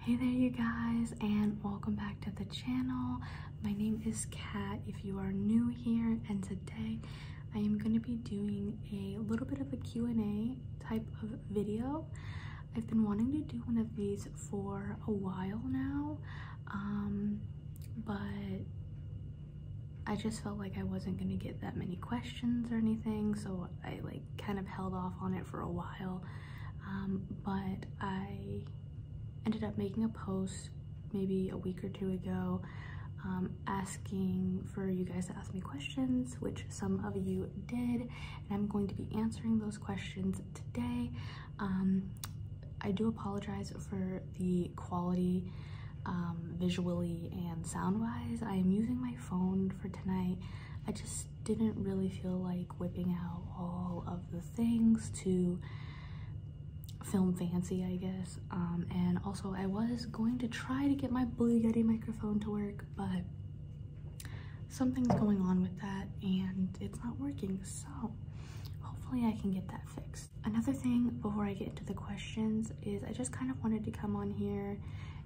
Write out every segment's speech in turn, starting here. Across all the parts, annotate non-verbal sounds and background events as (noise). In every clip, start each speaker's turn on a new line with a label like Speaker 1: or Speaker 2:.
Speaker 1: Hey there you guys and welcome back to the channel. My name is Kat if you are new here and today I am going to be doing a little bit of a Q&A type of video. I've been wanting to do one of these for a while now um, but I just felt like I wasn't going to get that many questions or anything so I like kind of held off on it for a while um, but I ended up making a post maybe a week or two ago um, asking for you guys to ask me questions, which some of you did, and I'm going to be answering those questions today. Um, I do apologize for the quality visually and sound-wise. I am using my phone for tonight. I just didn't really feel like whipping out all of the things to film fancy, I guess. Um, and also I was going to try to get my Blue Yeti microphone to work, but something's going on with that and it's not working. So hopefully I can get that fixed. Another thing before I get into the questions is I just kind of wanted to come on here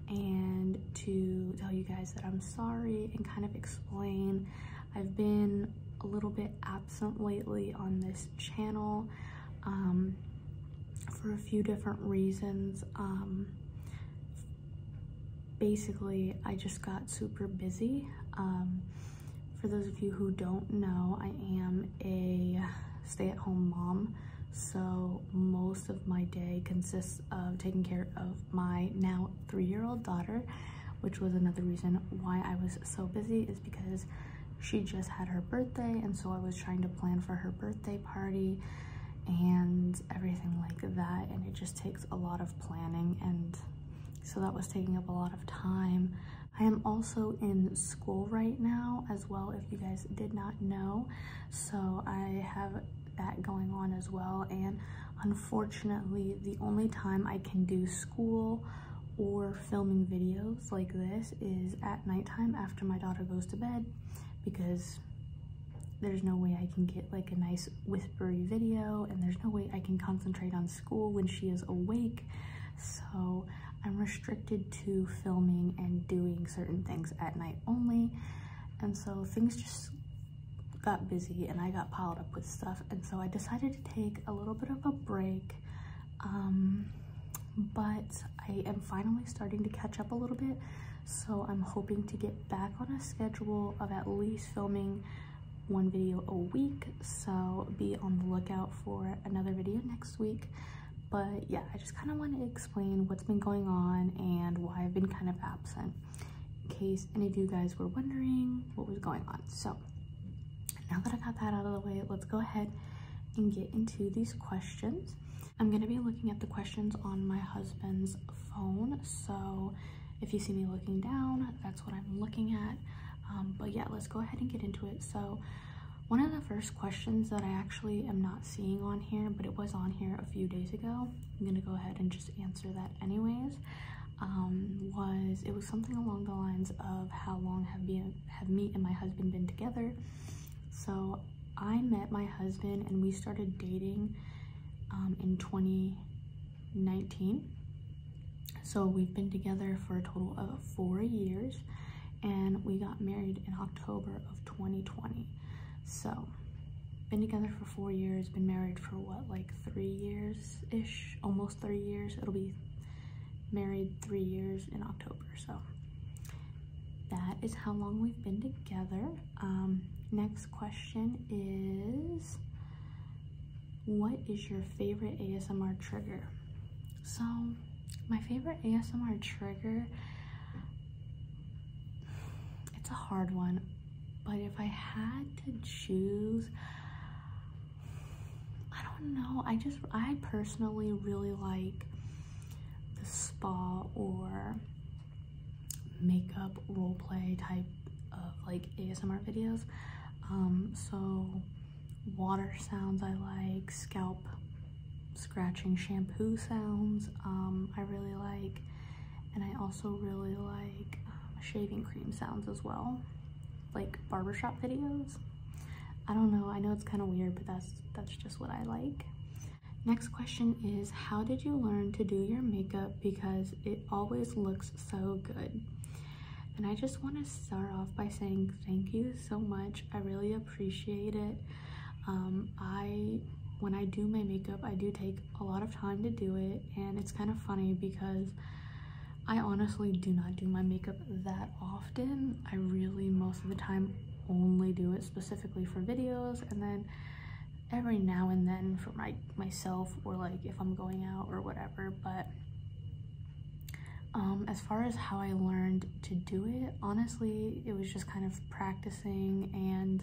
Speaker 1: and to tell you guys that I'm sorry and kind of explain. I've been a little bit absent lately on this channel um, for a few different reasons. Um, basically, I just got super busy. Um, for those of you who don't know, I am a stay-at-home mom, so most of my day consists of taking care of my now three-year-old daughter, which was another reason why I was so busy is because she just had her birthday and so I was trying to plan for her birthday party and everything like that and it just takes a lot of planning and so that was taking up a lot of time. I am also in school right now as well if you guys did not know so I have that going on as well. And unfortunately, the only time I can do school or filming videos like this is at nighttime after my daughter goes to bed because there's no way I can get like a nice whispery video and there's no way I can concentrate on school when she is awake. So I'm restricted to filming and doing certain things at night only. And so things just got busy and I got piled up with stuff. And so I decided to take a little bit of a break. Um, but I am finally starting to catch up a little bit. So I'm hoping to get back on a schedule of at least filming one video a week. So be on the lookout for another video next week. But yeah, I just kind of want to explain what's been going on and why I've been kind of absent in case any of you guys were wondering what was going on. So now that I got that out of the way, let's go ahead and get into these questions. I'm going to be looking at the questions on my husband's phone. So if you see me looking down, that's what I'm looking at. Um, but yeah, let's go ahead and get into it. So one of the first questions that I actually am not seeing on here, but it was on here a few days ago. I'm gonna go ahead and just answer that anyways. Um, was it was something along the lines of how long have me have me and my husband been together? So I met my husband and we started dating um, in 2019. So we've been together for a total of four years and we got married in October of 2020. So, been together for four years, been married for what, like three years-ish? Almost three years. It'll be married three years in October, so. That is how long we've been together. Um, next question is, what is your favorite ASMR trigger? So, my favorite ASMR trigger, it's a hard one, but if I had to choose, I don't know. I just, I personally really like the spa or makeup role play type of like ASMR videos. Um, so water sounds I like, scalp scratching shampoo sounds um, I really like and I also really like uh, shaving cream sounds as well like barbershop videos I don't know I know it's kind of weird but that's that's just what I like next question is how did you learn to do your makeup because it always looks so good and I just want to start off by saying thank you so much I really appreciate it. Um, I when I do my makeup, I do take a lot of time to do it, and it's kind of funny because I honestly do not do my makeup that often. I really most of the time only do it specifically for videos, and then every now and then for my myself or like if I'm going out or whatever. But um, as far as how I learned to do it, honestly, it was just kind of practicing and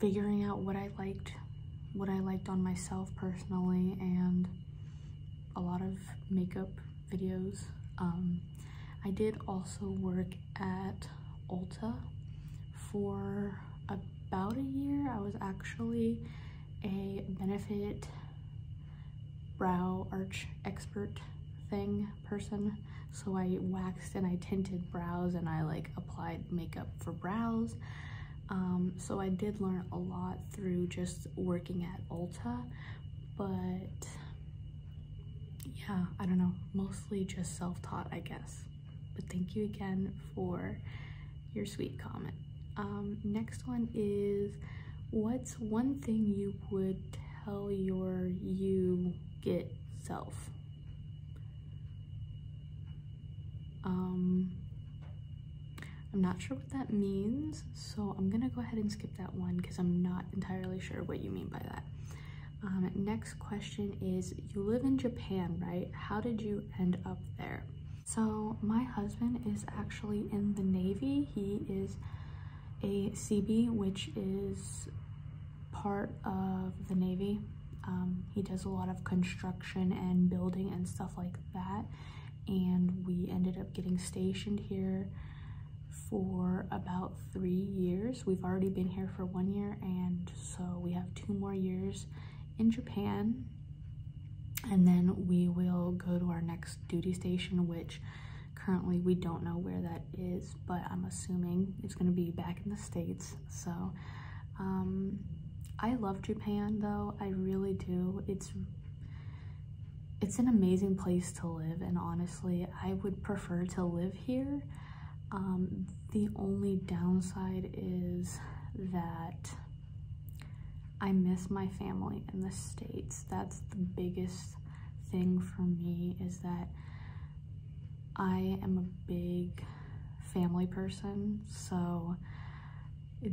Speaker 1: figuring out what I liked, what I liked on myself personally, and a lot of makeup videos. Um, I did also work at Ulta for about a year. I was actually a benefit brow arch expert thing person. So I waxed and I tinted brows and I like applied makeup for brows. Um, so I did learn a lot through just working at Ulta, but yeah, I don't know, mostly just self-taught, I guess. But thank you again for your sweet comment. Um, next one is what's one thing you would tell your you get self? Um, I'm not sure what that means, so I'm gonna go ahead and skip that one because I'm not entirely sure what you mean by that. Um, next question is, you live in Japan, right? How did you end up there? So my husband is actually in the Navy. He is a CB, which is part of the Navy. Um, he does a lot of construction and building and stuff like that. And we ended up getting stationed here for about three years. We've already been here for one year and so we have two more years in Japan and then we will go to our next duty station which currently we don't know where that is but i'm assuming it's going to be back in the states so um, i love japan though i really do it's it's an amazing place to live and honestly i would prefer to live here um, the only downside is that I miss my family in the States. That's the biggest thing for me is that I am a big family person. So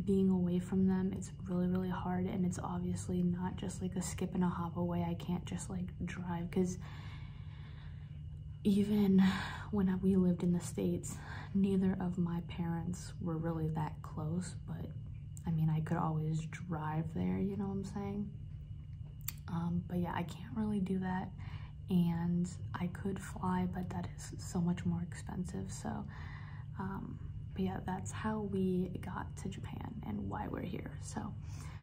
Speaker 1: being away from them, it's really, really hard. And it's obviously not just like a skip and a hop away. I can't just like drive because even when we lived in the States, neither of my parents were really that close, but I mean, I could always drive there, you know what I'm saying? Um, but yeah, I can't really do that. And I could fly, but that is so much more expensive. So, um, but yeah, that's how we got to Japan and why we're here. So,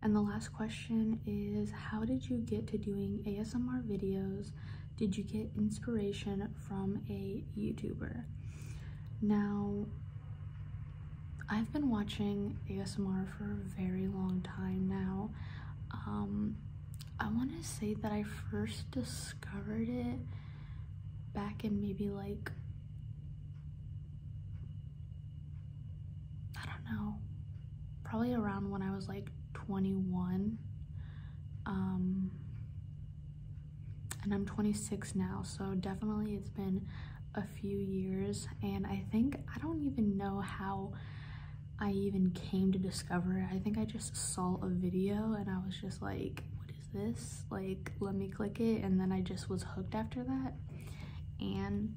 Speaker 1: and the last question is how did you get to doing ASMR videos, did you get inspiration from a YouTuber? Now, I've been watching ASMR for a very long time now. Um, I want to say that I first discovered it back in maybe like, I don't know, probably around when I was like 21. Um, and I'm 26 now, so definitely it's been a few years. And I think I don't even know how I even came to discover it. I think I just saw a video and I was just like, what is this? Like, let me click it. And then I just was hooked after that. And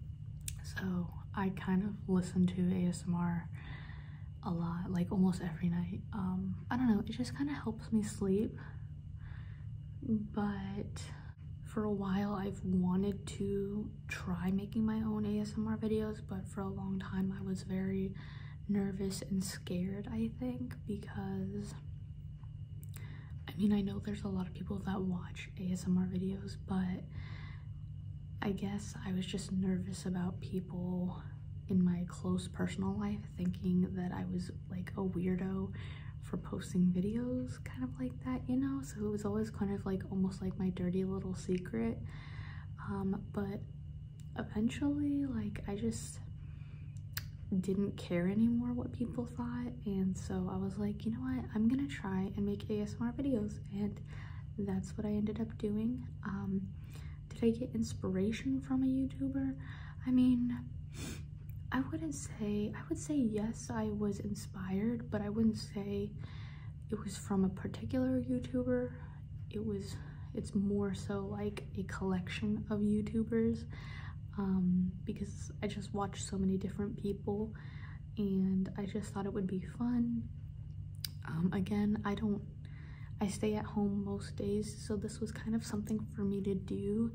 Speaker 1: so I kind of listened to ASMR a lot like almost every night um, i don't know it just kind of helps me sleep but for a while i've wanted to try making my own asmr videos but for a long time i was very nervous and scared i think because i mean i know there's a lot of people that watch asmr videos but i guess i was just nervous about people in my close personal life thinking that I was like a weirdo for posting videos kind of like that you know so it was always kind of like almost like my dirty little secret um, but eventually like I just didn't care anymore what people thought and so I was like you know what I'm gonna try and make ASMR videos and that's what I ended up doing um, did I get inspiration from a YouTuber? I mean, I wouldn't say, I would say yes, I was inspired, but I wouldn't say it was from a particular YouTuber. It was, it's more so like a collection of YouTubers um, because I just watched so many different people and I just thought it would be fun. Um, again, I don't I stay at home most days, so this was kind of something for me to do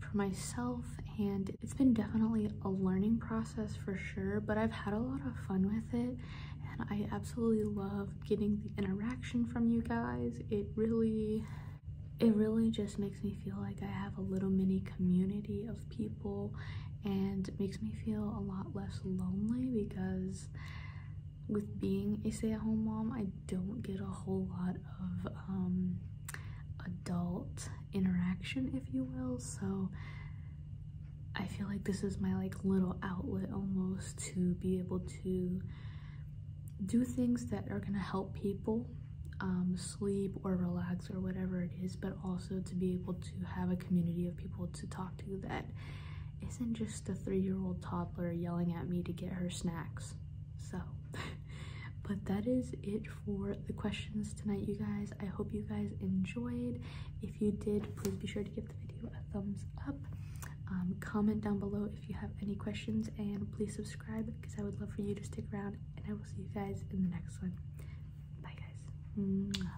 Speaker 1: for myself and it's been definitely a learning process for sure but I've had a lot of fun with it and I absolutely love getting the interaction from you guys it really it really just makes me feel like I have a little mini community of people and makes me feel a lot less lonely because with being a stay-at-home mom, I don't get a whole lot of um, adult interaction, if you will. So I feel like this is my like little outlet almost to be able to do things that are gonna help people um, sleep or relax or whatever it is, but also to be able to have a community of people to talk to that isn't just a three-year-old toddler yelling at me to get her snacks. So, (laughs) but that is it for the questions tonight, you guys. I hope you guys enjoyed. If you did, please be sure to give the video a thumbs up. Um, comment down below if you have any questions and please subscribe because I would love for you to stick around and I will see you guys in the next one. Bye guys.